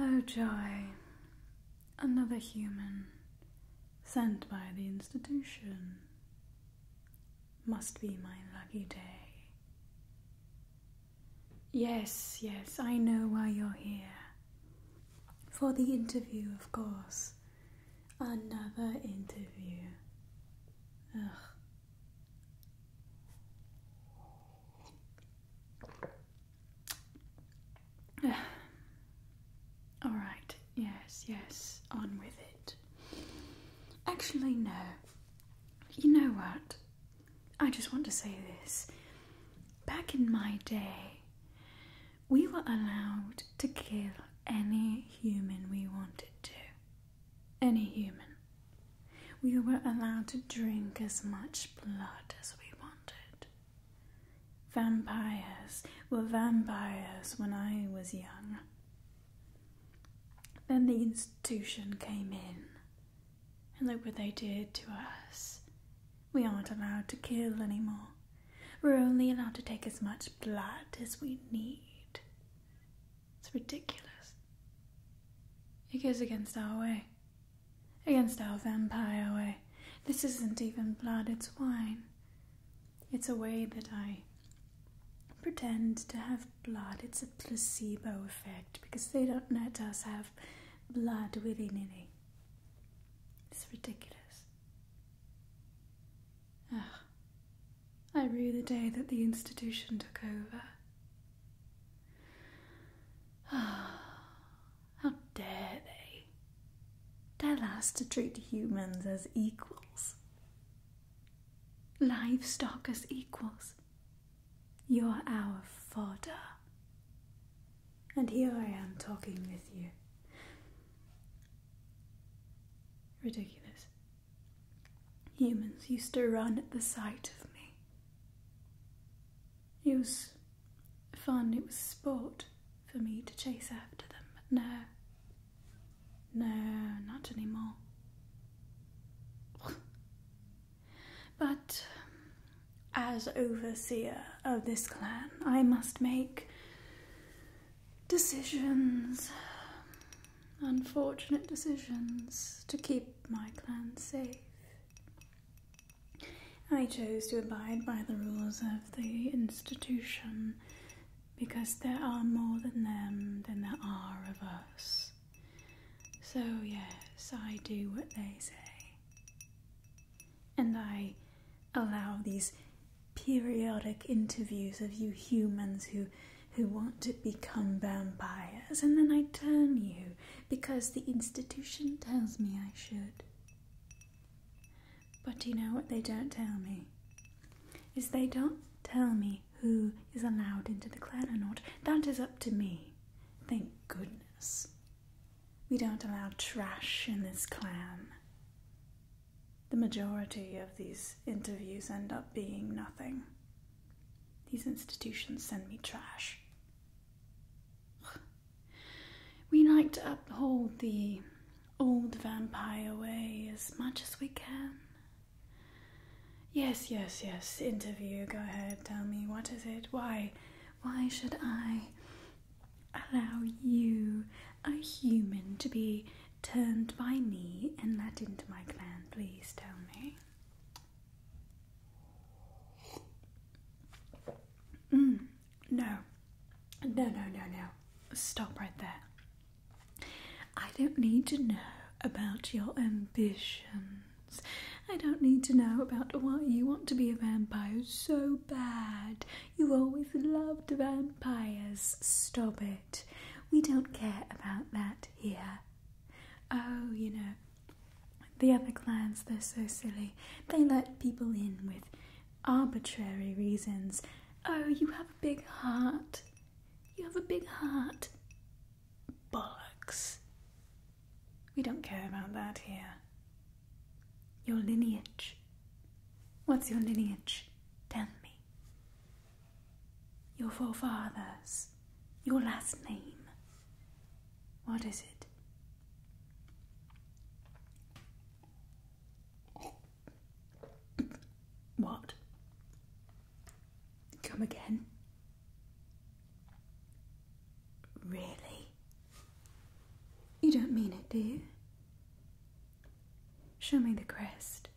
Um, oh, joy. Another human sent by the institution. Must be my lucky day. Yes, yes, I know why you're here. For the interview, of course. Another interview. Ugh. All right, yes, yes, on with it. Actually, no. You know what? I just want to say this. Back in my day, we were allowed to kill any human we wanted to. Any human. We were allowed to drink as much blood as we wanted. Vampires were vampires when I was young. Then the institution came in, and look what they did to us. We aren't allowed to kill anymore. We're only allowed to take as much blood as we need. It's ridiculous. It goes against our way, against our vampire way. This isn't even blood, it's wine. It's a way that I pretend to have blood, it's a placebo effect because they don't let us have blood willy nilly. It's ridiculous. Ugh. I rue the day that the institution took over. How dare they? Tell us to treat humans as equals livestock as equals. You're our fodder. And here I am talking with you. Ridiculous. Humans used to run at the sight of me. It was fun, it was sport for me to chase after them, but now no, not anymore. but as overseer of this clan, I must make decisions, unfortunate decisions, to keep my clan safe. I chose to abide by the rules of the institution because there are more than them than there are of us. So, yes, I do what they say. And I allow these periodic interviews of you humans who who want to become vampires and then I turn you because the institution tells me I should. But you know what they don't tell me? Is they don't tell me who is allowed into the clan or not. That is up to me. Thank goodness. We don't allow trash in this clan. The majority of these interviews end up being nothing. These institutions send me trash. We like to uphold the old vampire way as much as we can. Yes, yes, yes, interview, go ahead, tell me, what is it? Why? Why should I allow you, a human, to be turned by me and let into my clan? Please tell me. Mm. no. No, no, no, no. Stop right there. I don't need to know about your ambitions. I don't need to know about why you want to be a vampire so bad. You always loved vampires. Stop it. We don't care about that here. Oh, you know, the other clans, they're so silly. They let people in with arbitrary reasons. Oh, you have a big heart. You have a big heart. Bollocks. We don't care about that here. Your lineage. What's your lineage? Tell me. Your forefathers. Your last name. What is it? What? Come again? Really? You don't mean it, do you? Show me the crest.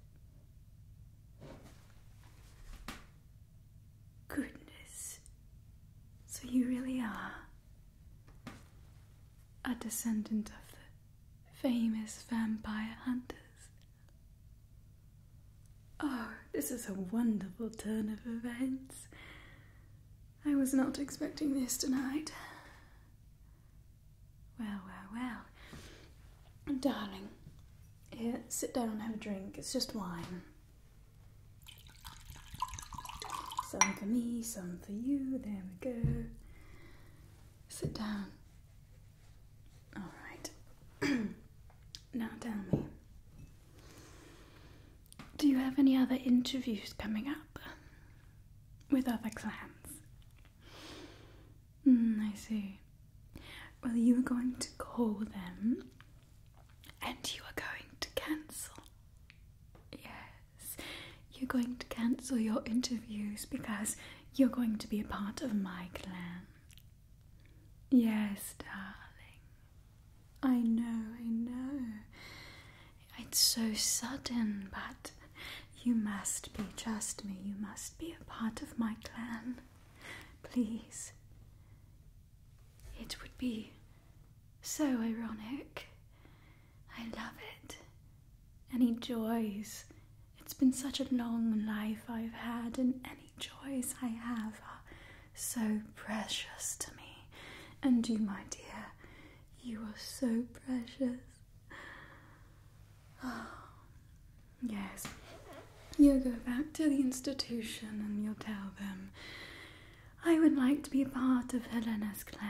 Goodness. So you really are a descendant of the famous vampire hunters. Oh, this is a wonderful turn of events. I was not expecting this tonight. Well, well, well. Darling, here, sit down and have a drink. It's just wine. Some for me, some for you. There we go. Sit down. All right. now tell me, do you have any other interviews coming up with other clans? Hmm, I see. Well, you are going to call them and you are going to cancel. Yes, you're going to cancel your interviews because you're going to be a part of my clan. Yes, darling. I know, I know. It's so sudden, but you must be, just me, you must be a part of my clan. Please. It would be so ironic. I love it. And he joys it's been such a long life I've had, and any joys I have are so precious to me. And you, my dear, you are so precious. yes. You'll go back to the institution and you'll tell them, I would like to be a part of Helena's clan.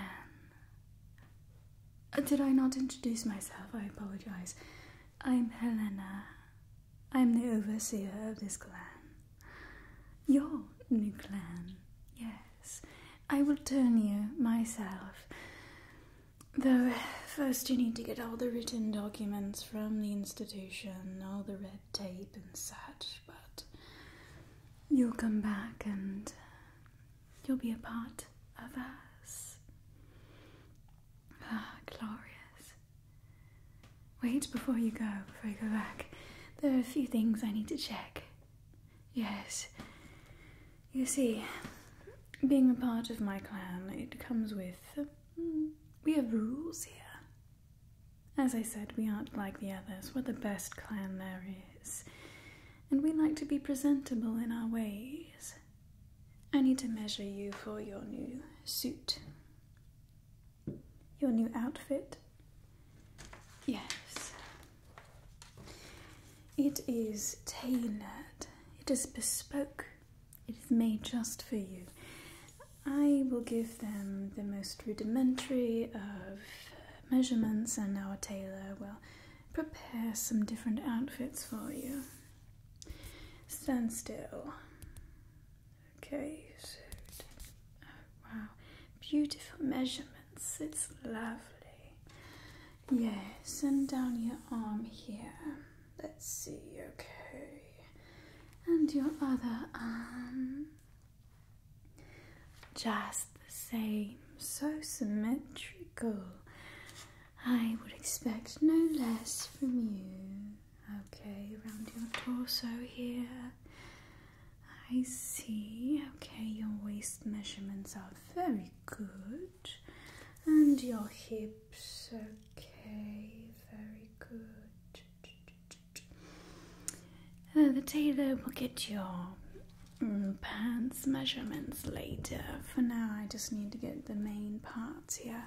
Uh, did I not introduce myself? I apologize. I'm Helena. I'm the overseer of this clan. Your new clan, yes. I will turn you myself. Though, first you need to get all the written documents from the institution, all the red tape and such, but you'll come back and you'll be a part of us. Ah, glorious. Wait before you go, before you go back. There are a few things I need to check. Yes. You see, being a part of my clan, it comes with. Hmm, we have rules here. As I said, we aren't like the others. We're the best clan there is. And we like to be presentable in our ways. I need to measure you for your new suit. Your new outfit? Yes. It is tailored, it is bespoke, it is made just for you. I will give them the most rudimentary of measurements, and our tailor will prepare some different outfits for you. Stand still. Okay, oh, wow, beautiful measurements. It's lovely. Yes. send down your arm here. Let's see. Okay, and your other arm. Just the same. So symmetrical. I would expect no less from you. Okay, around your torso here. I see. Okay, your waist measurements are very good. And your hips, okay, very good. Uh, the tailor will get your mm, pants measurements later. For now, I just need to get the main parts here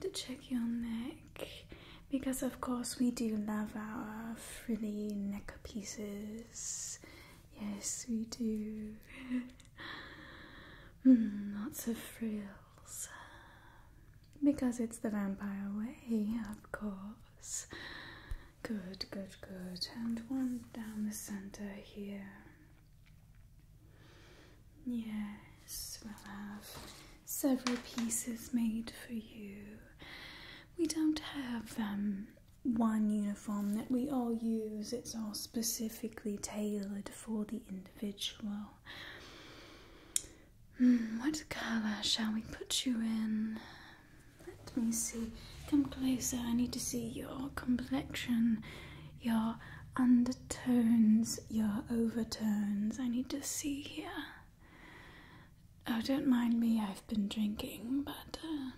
to check your neck because, of course, we do love our frilly neck pieces. Yes, we do. Hmm, lots of frills because it's the vampire way, of course. Good, good, good. And one down the center here. Yes, we'll have several pieces made for you. We don't have um, one uniform that we all use, it's all specifically tailored for the individual. Hmm, what colour shall we put you in? Let me see. Come closer. I need to see your complexion your undertones, your overtones. I need to see here. Oh, don't mind me, I've been drinking, but uh,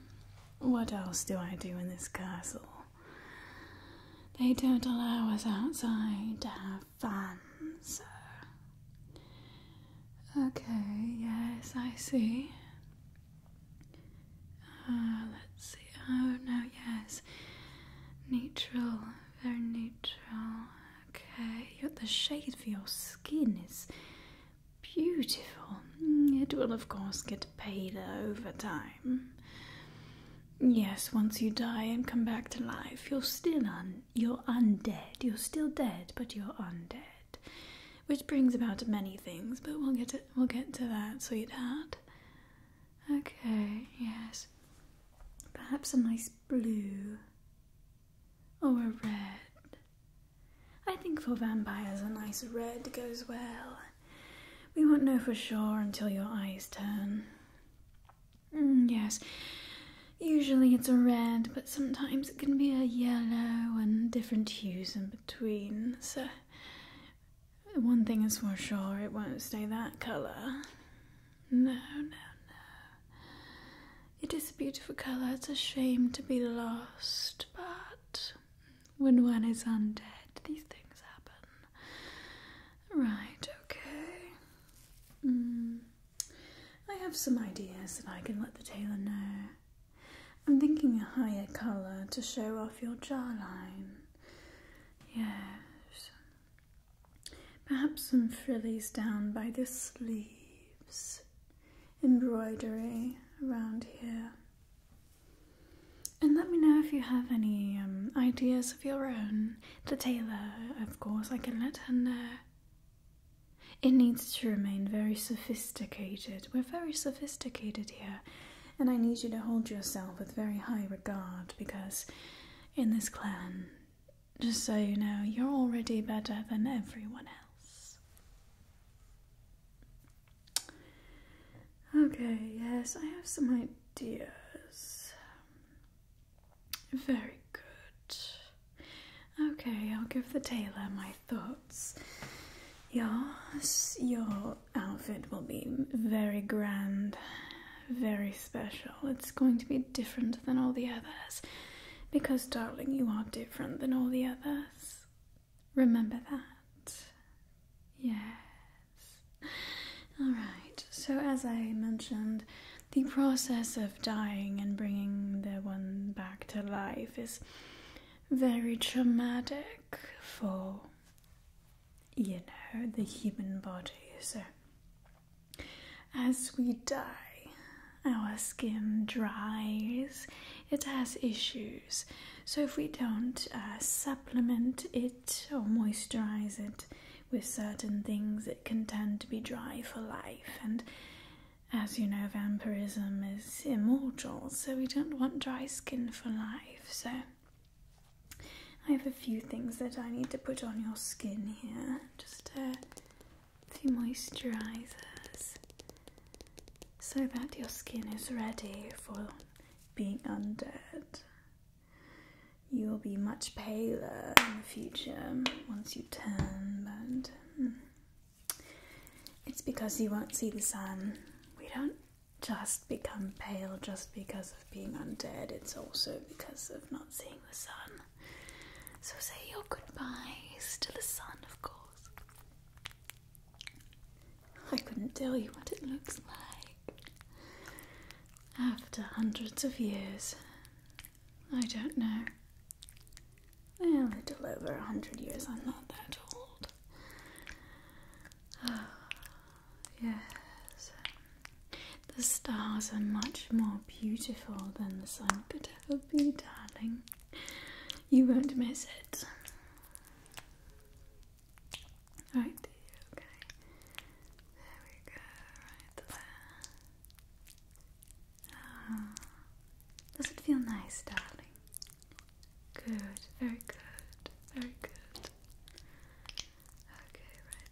what else do I do in this castle? They don't allow us outside to have fun, so. Okay, yes, I see. Uh, let's see. Oh, no, yes neutral, very neutral. Okay, the shade for your skin is beautiful. Mm, it will, of course, get paler over time. Yes, once you die and come back to life, you're still un- you're undead. You're still dead, but you're undead, which brings about many things. But we'll get to, we'll get to that, sweetheart. Okay, yes. Perhaps a nice blue or a red. I think for vampires, a nice red goes well. We won't know for sure until your eyes turn. Mm, yes, usually it's a red, but sometimes it can be a yellow and different hues in between, so one thing is for sure, it won't stay that colour. No, no, no. It is a beautiful colour, it's a shame to be lost, but when one is undead, these things happen. Right, okay. Mm. I have some ideas that I can let the tailor know. I'm thinking a higher colour to show off your jawline. Yes. Perhaps some frillies down by the sleeves, embroidery around here. And let me know if you have any um, ideas of your own. The tailor, of course, I can let her know. It needs to remain very sophisticated. We're very sophisticated here and I need you to hold yourself with very high regard because in this clan, just so you know, you're already better than everyone else. Okay, yes, I have some ideas. Very good. Okay, I'll give the tailor my thoughts. Yours, your little outfit will be very grand, very special. It's going to be different than all the others. Because, darling, you are different than all the others. Remember that. Yes. Alright, so as I mentioned, the process of dying and bringing the one back to life is very traumatic for you know, the human body. So, as we die, our skin dries, it has issues. So, if we don't uh, supplement it or moisturize it with certain things, it can tend to be dry for life. And as you know, vampirism is immortal, so we don't want dry skin for life. So, I have a few things that I need to put on your skin here. Just a few moisturizers so that your skin is ready for being undead. You will be much paler in the future once you turn, but hmm. it's because you won't see the sun. We don't just become pale just because of being undead, it's also because of not seeing the sun. So say your goodbyes to the sun, of course. I couldn't tell you what it looks like. After hundreds of years, I don't know. Well, a little over a hundred years, I'm not that old. Yes. The stars are much more beautiful than the sun could ever be, darling. You won't miss it. Right, okay. There we go, right there. Ah. Does it feel nice, darling? Good, very good, very good. Okay, right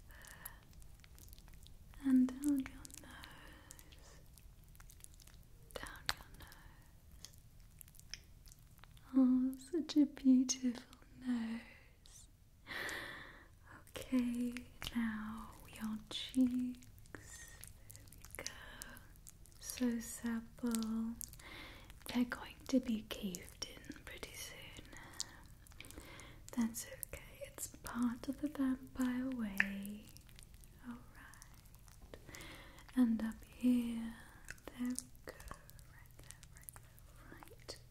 there. And down your nose. Down your nose. Oh, such a beautiful nose. Okay, now your cheeks. There we go. So supple. They're going to be caved in pretty soon. That's okay, it's part of the vampire way. Alright. And up here. There we go. Right there, right there, right there.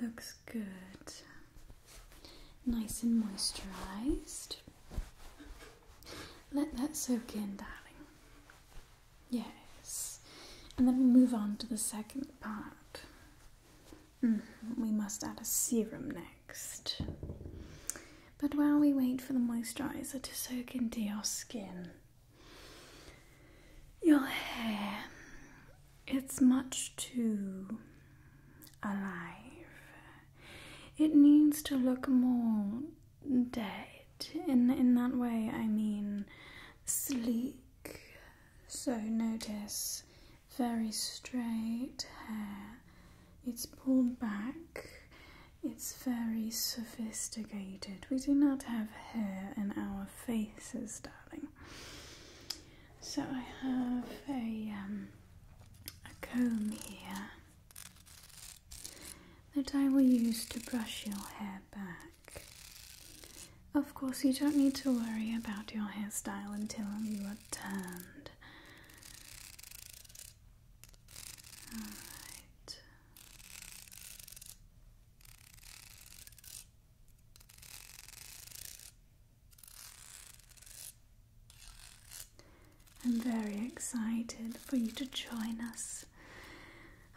Alright. Looks good. Nice and moisturized. Let that soak in, darling. Yes. And then we move on to the second part. Hmm, we must add a serum next. But while we wait for the moisturizer to soak into your skin, your hair, it's much too alive it needs to look more dead. In in that way I mean sleek. So notice very straight hair. It's pulled back. It's very sophisticated. We do not have hair in our faces, darling. So I have a um, a comb here that I will use to brush your hair back. Of course, you don't need to worry about your hairstyle until you are turned. Alright. I'm very excited for you to join us.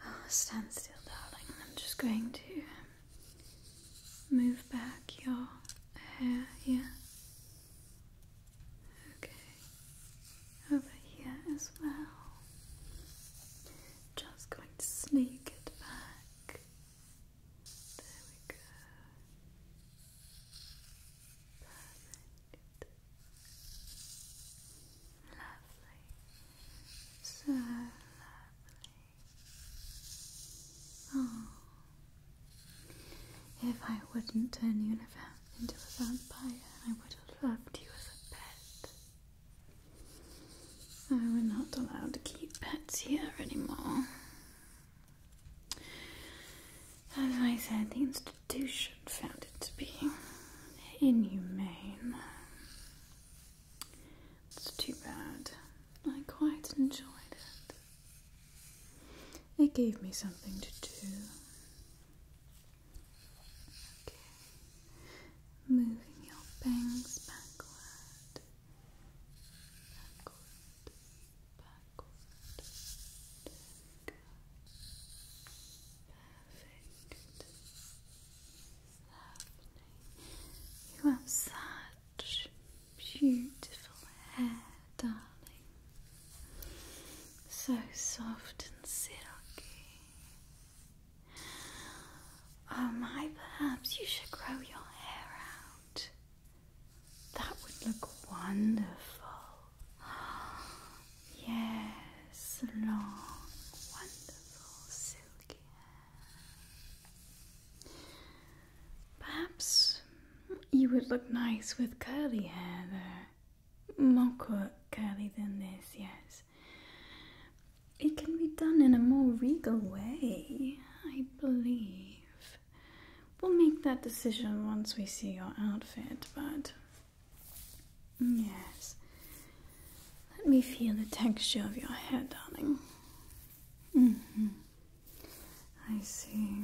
Oh, stand still, darling. I'm just going to move back your hair here. Okay. Over here as well. Just going to sneak it back. There we go. Lovely. So lovely. Oh. If I wouldn't turn you into a vampire, I would have loved you as a pet. I'm not allowed to keep pets here anymore. As I said, the institution found it to be inhumane. It's too bad. I quite enjoyed it. It gave me something to do. Okay. Moving your bangs backward. Backward. You have such beautiful hair, darling. So soft and silky. Oh my, perhaps you should grow your hair out. That would look wonderful. Yes, long, wonderful, silky hair. Perhaps you would look nice with curly hair, though. More curly than this, yes. It can be done in a more regal way, I believe we'll make that decision once we see your outfit, but mm, yes. Let me feel the texture of your hair, darling. hmm I see.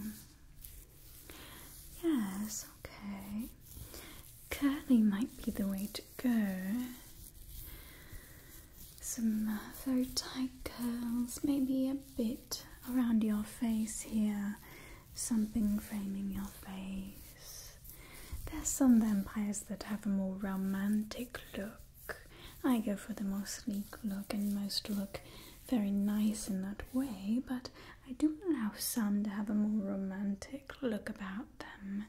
Yes, okay. Curly might be the way to go. Some uh, very tight curls, maybe a bit around your face here, something framing your face. There's some vampires that have a more romantic look. I go for the more sleek look, and most look very nice in that way, but I do allow some to have a more romantic look about them.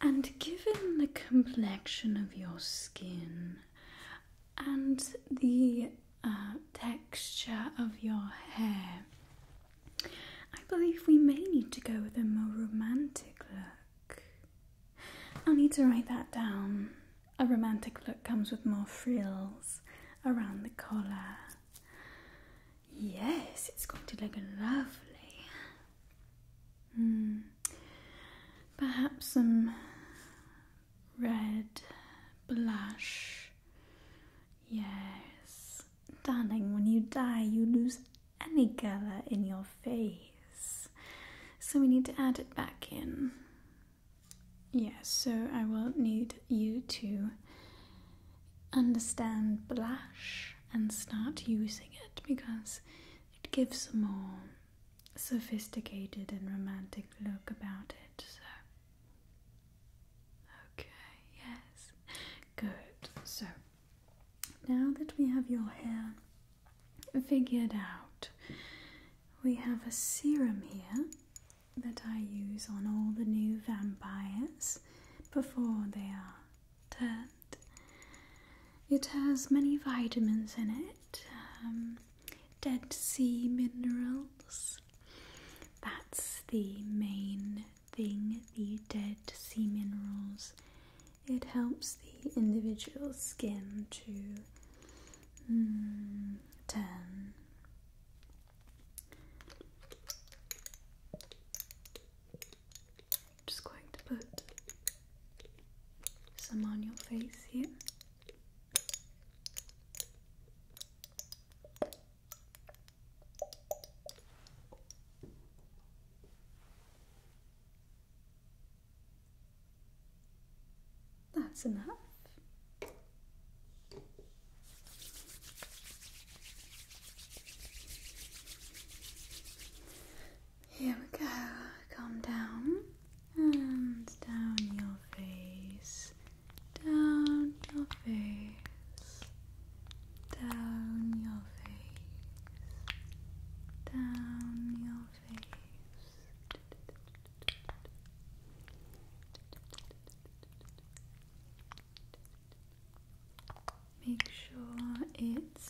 And given the complexion of your skin and the uh, texture of your hair. I believe we may need to go with a more romantic look. I'll need to write that down. A romantic look comes with more frills around the collar. Yes, it's going to look lovely. Hmm. Perhaps some red blush Yes. Darling, when you die, you lose any color in your face. So we need to add it back in. Yes, so I will need you to understand blush and start using it because it gives a more sophisticated and romantic look about it. So Okay, yes. Good. So, now that we have your hair figured out, we have a serum here that I use on all the new vampires before they are turned. It has many vitamins in it, um, dead sea minerals, that's the main thing, the dead sea minerals. It helps the individual skin to mm, just going to put some on your face here. That's enough. Here we go. Calm down and down your face down your face, down your face, down your face. Make sure it's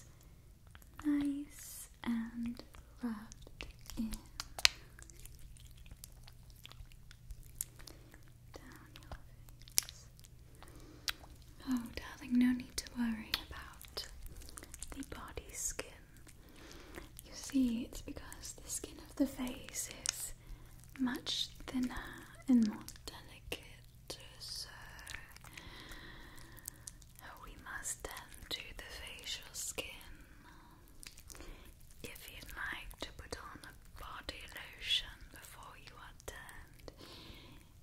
nice and wrapped in. Oh, darling, no need to worry about the body skin. You see, it's because the skin of the face is much thinner and more delicate, so we must tend to the facial skin if you'd like to put on a body lotion before you are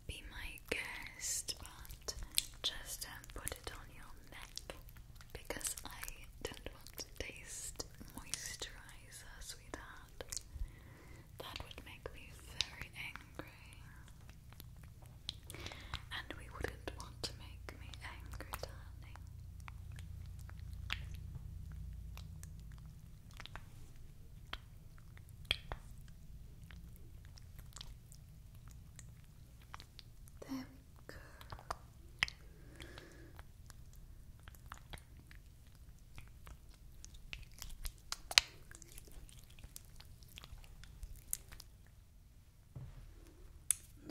be my guest, but just don't put it on your neck because I don't taste moisturizer, sweetheart. That would make me very angry. And we wouldn't want to make me angry, Dad listening. There we go.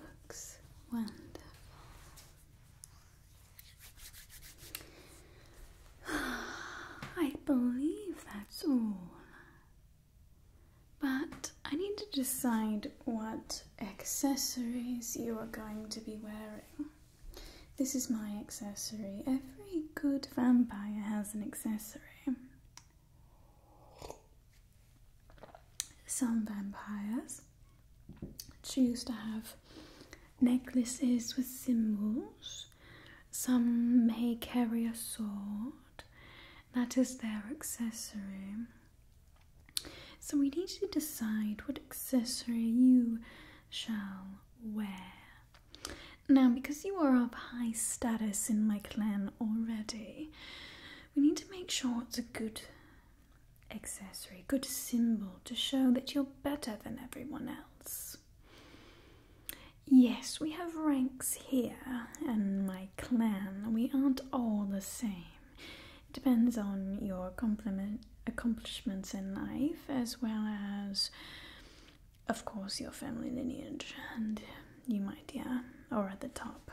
Looks wonderful. I believe that's all. But I need to decide what accessories you are going to be wearing. This is my accessory. Every good vampire has an accessory. Some vampires choose to have necklaces with symbols. Some may carry a sword, that is their accessory. So we need to decide what accessory you shall wear. Now, because you are of high status in my clan already, we need to make sure it's a good accessory, good symbol to show that you're better than everyone else. Yes, we have ranks here, and my clan, we aren't all the same. It depends on your accomplishments in life, as well as, of course, your family lineage, and you might, yeah, are at the top.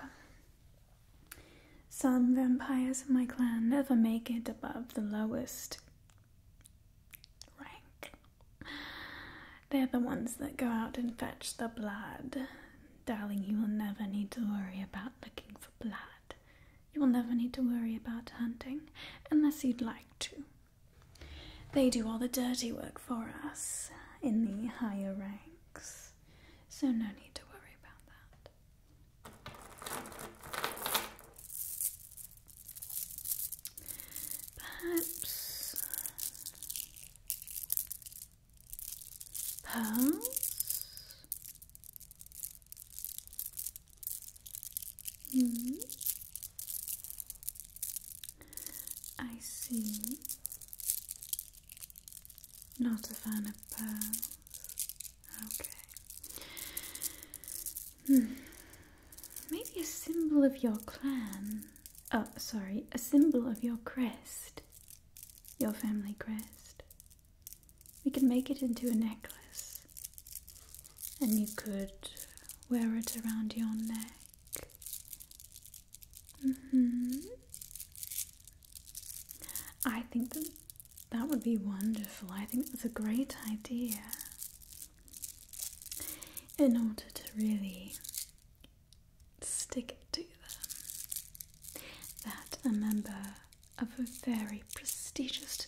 Some vampires in my clan never make it above the lowest rank. They're the ones that go out and fetch the blood. Darling, you will never need to worry about looking for blood. You will never need to worry about hunting unless you'd like to. They do all the dirty work for us in the higher ranks, so no need to worry about that. Perhaps pearls. Hmm. I see. Not a fan of pearls. Okay. Hmm. Maybe a symbol of your clan. Oh, sorry, a symbol of your crest. Your family crest. We could make it into a necklace. And you could wear it around your neck. Mm hmm. I think that that would be wonderful. I think that's a great idea. In order to really stick together, that a member of a very prestigious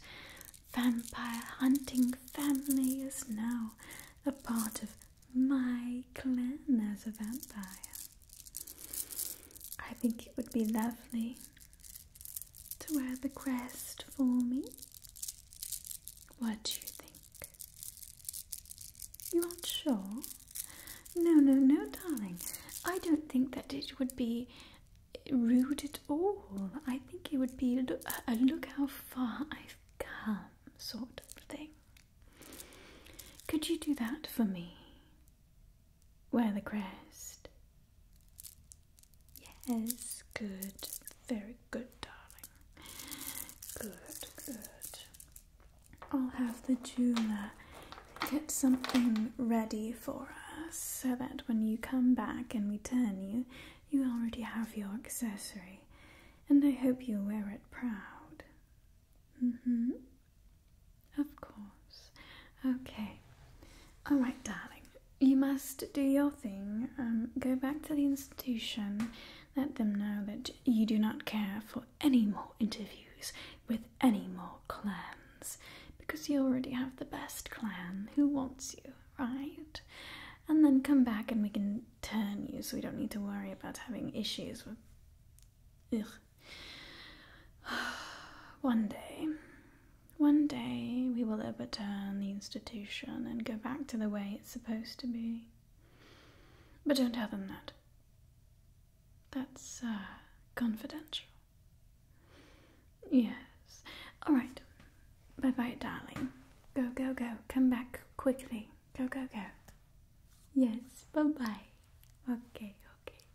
vampire hunting family is now a part of my clan as a vampire. I think it would be lovely to wear the crest for me? What do you think? You aren't sure? No, no, no, darling. I don't think that it would be rude at all. I think it would be a look how far I've come sort of thing. Could you do that for me? Wear the crest. Yes, good. Very good, darling. Good, good. I'll have the jeweler get something ready for us so that when you come back and return you, you already have your accessory. And I hope you wear it proud. Mm hmm. Of course. Okay. Alright, darling. You must do your thing. Um, go back to the institution. Let them know that you do not care for any more interviews with any more clans because you already have the best clan who wants you, right? And then come back and we can turn you so we don't need to worry about having issues with. Ugh. One day, one day we will overturn the institution and go back to the way it's supposed to be. But don't tell them that. That's uh, confidential. Yes. All right. Bye bye, darling. Go, go, go. Come back quickly. Go, go, go. Yes. Bye bye. Okay, okay.